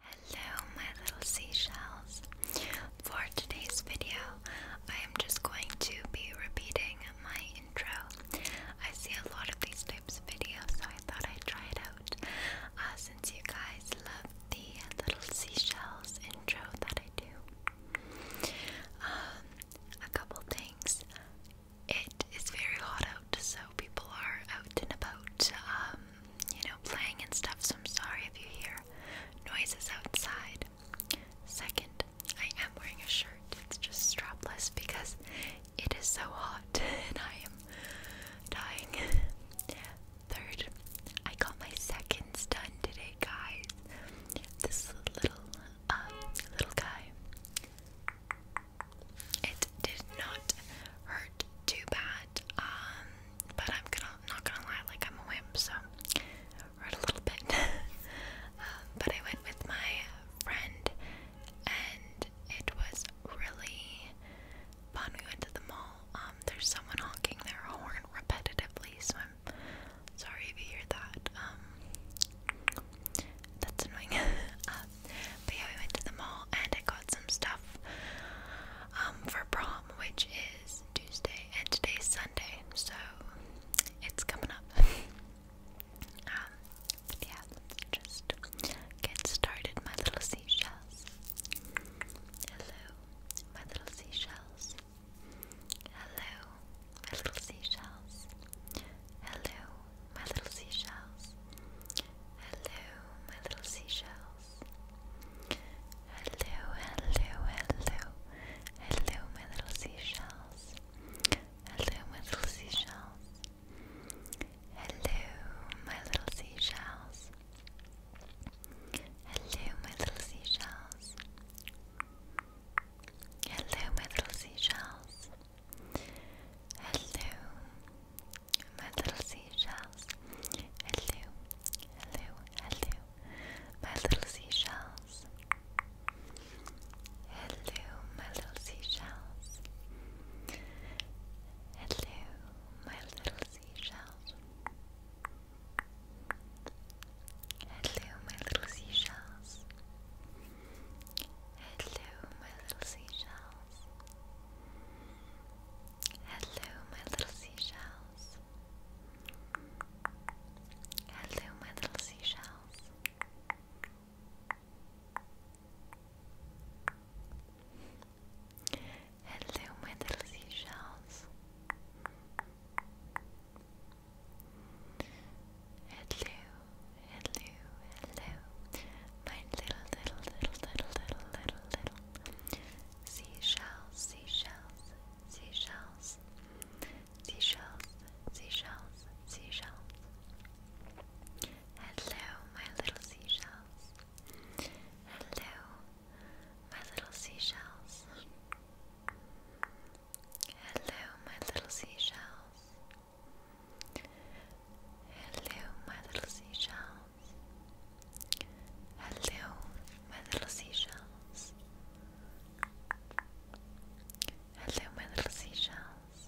Hello, my little seashells. For today's video, I am just going to be repeating my intro. I see a lot of these types of videos, so I thought I'd try it out. Uh, since you guys love the little seashells intro that I do, um, a couple things. It is very hot out, so people are out and about. Um, you know, playing and stuff, so I'm sorry if you hear noises outside. Second, I am wearing a shirt, it's just strapless because it is so hot and I am dying. Third, I got my seconds done today, guys. This little, um, little guy. It did not hurt too bad. Um, but I'm not gonna lie, like I'm a wimp, so read a little bit. Um, but I went with my friend, and it was really fun. We went to the mall. Um, there's someone honking their horn repetitively, so I'm sorry if you hear that. that's annoying. But yeah, we went to the mall and I got some stuff um, for prom, which is Tuesday, and today's Sunday, so it's coming up. Um, yeah, let's just get started, my little seashells. Hello, my little seashells. Hello, my little seashells. Hello, my little seashells. Hello, my little seashells. Hello, hello, hello, hello, my little seashells. Hello, my little seashells. Hello, my little seashells. Hello, my little seashells. Hello, my little seashells. Hello, my little seashells. Hello, hello, hello, my little seashells. Hello, my little seashells. Hello, my little seashells. Hello, my little seashells. Hello, my little seashells. Hello, my little seashells. Hello, my little seashells. Hello, my little seashells. Hello, hello, hello my little, little, little, little, little, little, seashells, seashells, seashells, seashells, seashells, seashells. Hello, my little seashells. Hello, my little seashells. Hello, my little seashells. Hello, my little seashells. Hello, my little seashells. Hello, my little seashells.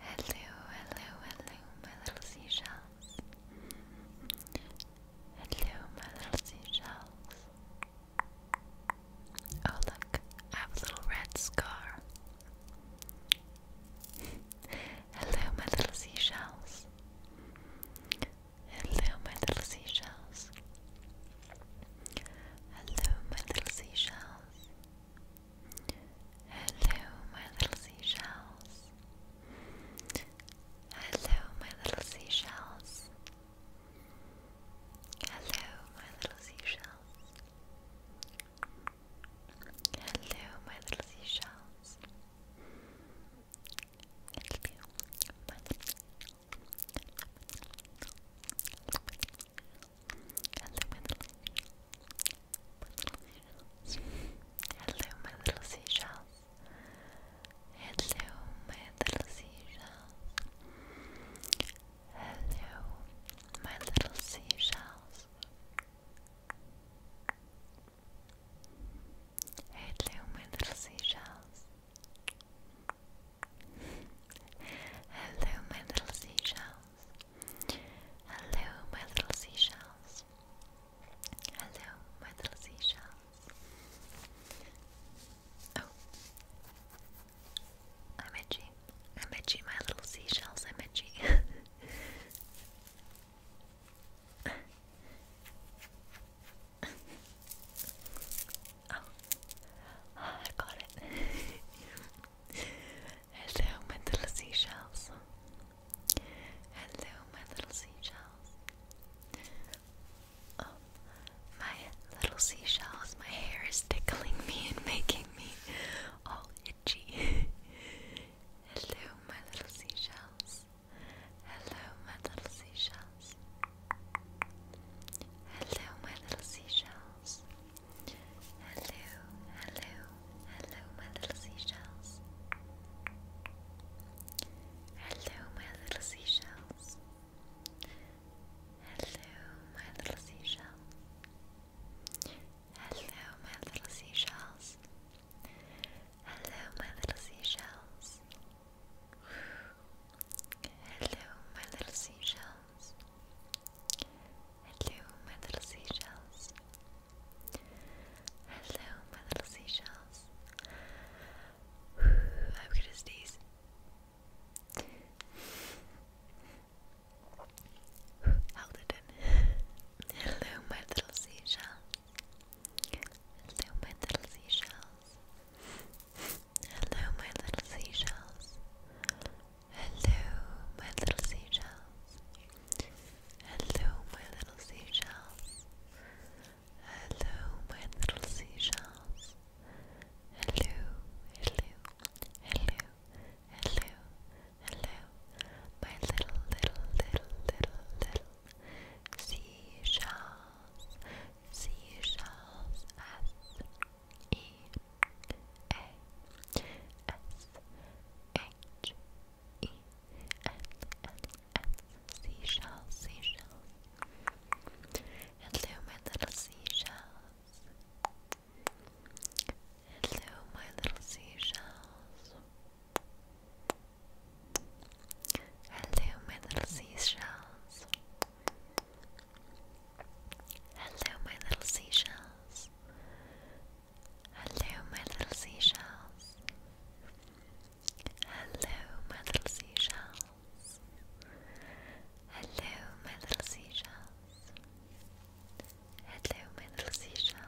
Hello, hello, hello, my little seashells. Hello, my little seashells. Oh, look, I have a little red scar. Hello, my little seashells. Hello, my little seashells. Hello, my little seashells. Hello, my little seashells. Hello, my little seashells. Hello, my little seashells. Hello, my little seashells. Hello, my little Hello, my little seashells. Hello, my little seashells. Hello, my little seashells. Hello, my little seashells. Hello, my little seashells. Hello, my little seashells. Hello, my little seashells. Oh, I'm itchy i met you, my little seashells, i met you. oh, I got it. Hello, my little seashells. Hello, my little seashells. Oh, my little seashells, my hair is tickling me and making me all itchy. Hello, my little seashells. Hello, my little seashells. Hello, my little seashells. Hello, hello, hello, my little seashells. Hello, my little seashells. Hello, my little seashell. Hello, my little seashells. Hello, my little seashells. Hello, my little seashells. Hello, my little seashells. Hello, my little seashells. I'm gonna sneeze. Hello, my little seashells. Hello, my little seashells. Hello, my little seashells. Hello, my little seashells. Hello, my little seashells. Hello, my little seashells. Hello, hello, hello, hello, hello, my little, little, little, little, little seashells, seashells, S E A S H E N N N seashells, seashells. Hello, my little seashells. Hello, my little seashells. Hello, my little seashells. Hello, my little seashells. Hello, my little seashells. Hello, my little seashells. Hello, my little seashells. Hello, my little seashells.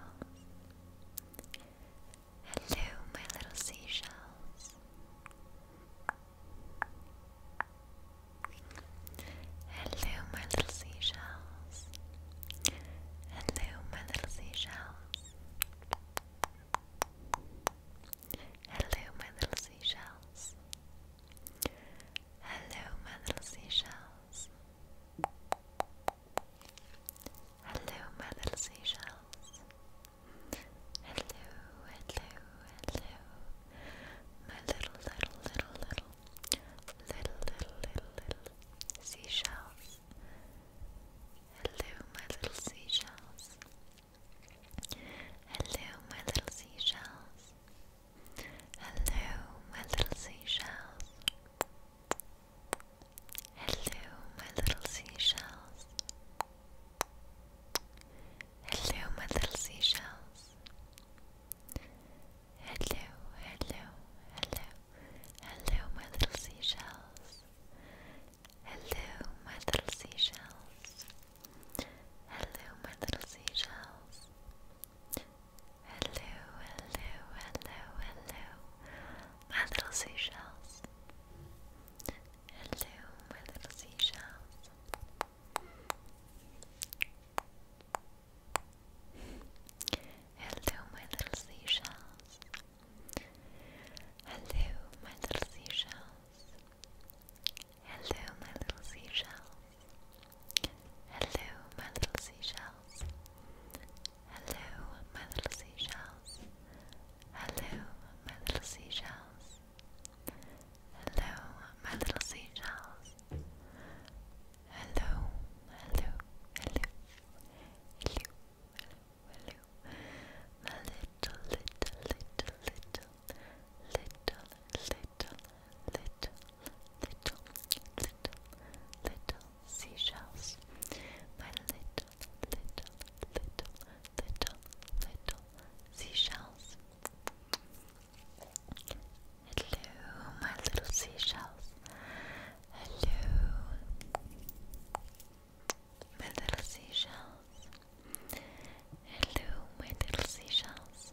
Hello, my little seashells. Hello, my little seashells. Hello, my little seashells. Hello, my little seashells. Hello, Hello, my little seashells. Hello, my little seashells. Hello, hello, hello. My little, little, little, little, little, little, little, seashells. Hello, my little seashells. Hello, my little seashells. Hello, my little seashells. Hello, my little seashells. Hello, my little seashells. Hello, hello, hello, hello, my little seashells. Hello, my little seashells. Hello, my little seashells. Hello, hello, hello, hello, my little seashells. Hello, my little seashells. Hello, my little seashells. Hello, my little seashells. Hello, my little seashells. Hello, my little seashells. Hello, my little seashells. Hello, my little seashells. Hello, my little seashells. Hello, hello, hello, hello, hello, hello, my little, little, little, little, little, little, little, little, little, little seashells. My little, little, little, little, little seashells. Hello, my little seashells. Hello, my little seashells. Hello, my little seashells.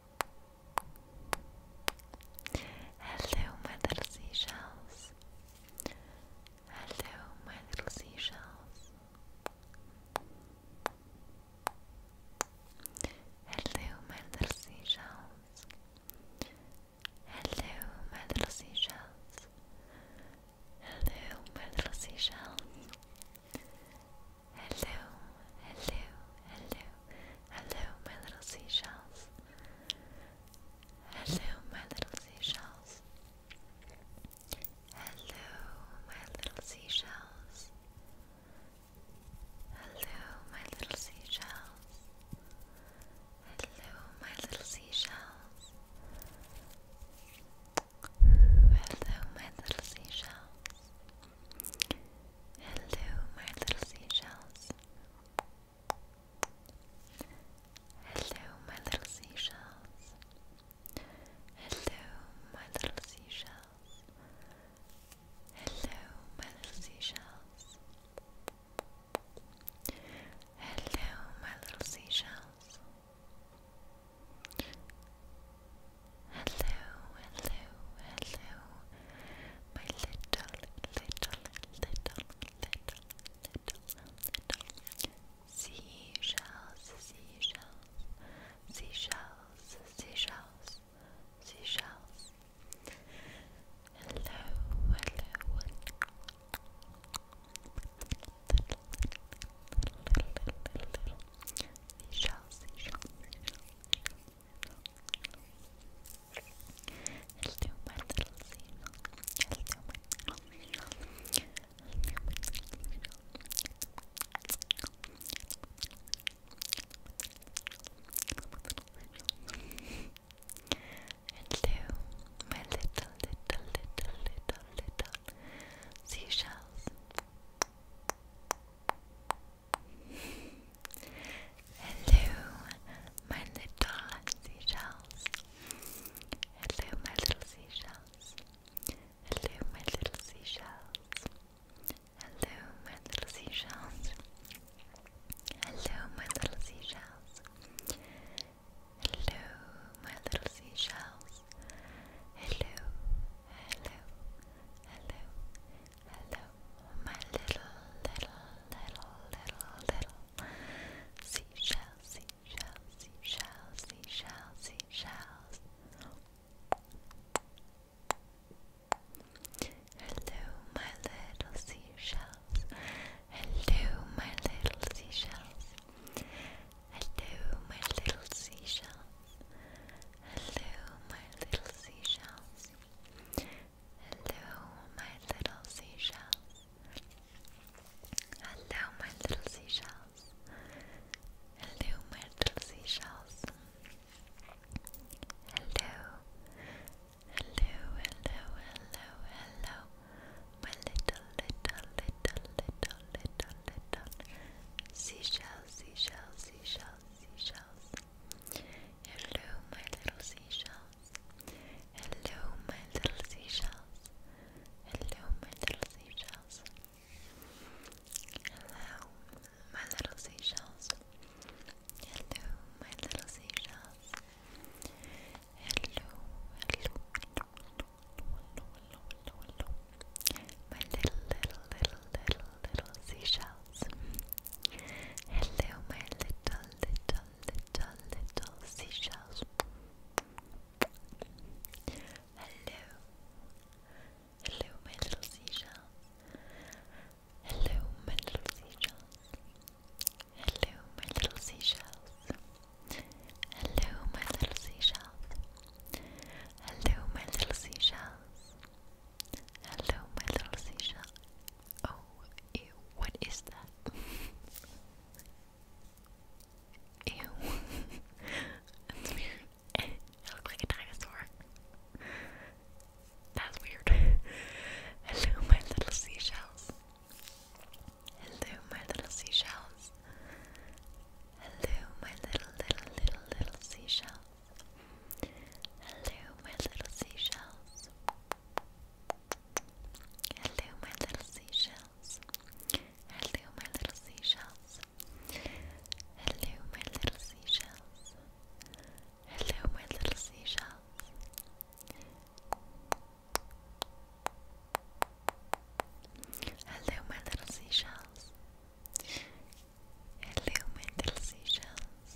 Hello, my little seashells. Hello, my little seashells. Hello, my little seashells. Hello, my little seashells. Hello, my little seashells. Hello, hello, hello, hello, my little seashells. Hello, my little seashells. Hello, my little seashells. Hello, my little seashells. Hello, my little seashells. Hello, my little seashells. Hello, Hello, my little seashells. Hello, my little seashells. Hello, my little seashells. Hello, my little seashells. Hello, my little seashells. Hello, hello, hello, my little, little, little, little, little, little little, little, little, little, little, little seashells, seashells, seashells. Seashells, seashells, seashells, seashells, seashells, seashells, seashells, seashells, seashells, seashells, seashells, seashells, seashells, seashells, human, you, my little, little, little, little, little seashells. Hello, my little seashells. Hello, my little seashells. Hello, my little seashells. Hello, my little seashells. Hello, my little seashells. Hello, my little seashells. Hello, hello, hello, Hello, my little, little, little, little, little seashell, seashell, seashell, seashell, seashells. Hello, my little seashells. Hello, my little seashells. Hello, my little seashells. Hello, my little seashells. Hello, my little seashells. Hello, my little seashells. Hello, my little seashells. Hello. Hello, hello, hello, hello. My little, little, little, little, little, little seashell, seashell, seashell, seashells. Hello, my little seashells. Hello, my little seashells. Hello, my little seashells. Hello, my little seashells. Hello, my little seashells. Hello, hello, hello, hello, hello, hello, hello, hello, hello, my little, little, little, little, little seashells. Hello, my little, little, little, little seashells. Hello, hello, my little seashells. Hello, my little seashells. Hello, my little seashells. Hello, my little seashells. Hello, my little seashells. Hello, my little seashell. Oh, ew, what is that? ew. That's weird. it looks like a dinosaur. That's weird. Hello, my little seashells. Hello, my little seashells. Hello, my little, little, little, little seashells. Hello, my little seashells. Hello, my little seashells. Hello, my little seashells. Hello, my little seashells. Hello, my little seashells. Hello, my little seashells. Hello, mental seashells.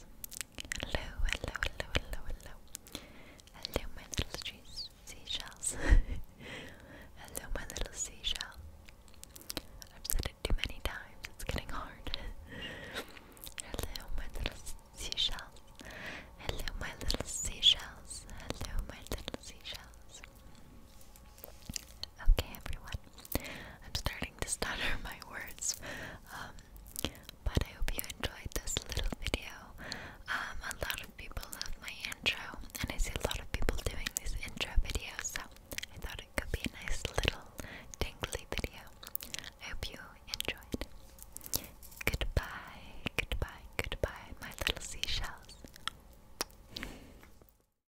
Hello, hello, hello, hello, hello. Hello, my little seashells. hello, my little seashell. I've said it too many times, it's getting hard. hello, my little seashells. Hello, my little seashells. Hello, my little seashells. Okay, everyone. I'm starting to stutter my words. Um, but I hope you enjoyed this little video. Um, a lot of people love my intro, and I see a lot of people doing this intro video, so I thought it could be a nice little tingly video. I hope you enjoyed. Goodbye, goodbye, goodbye, my little seashells.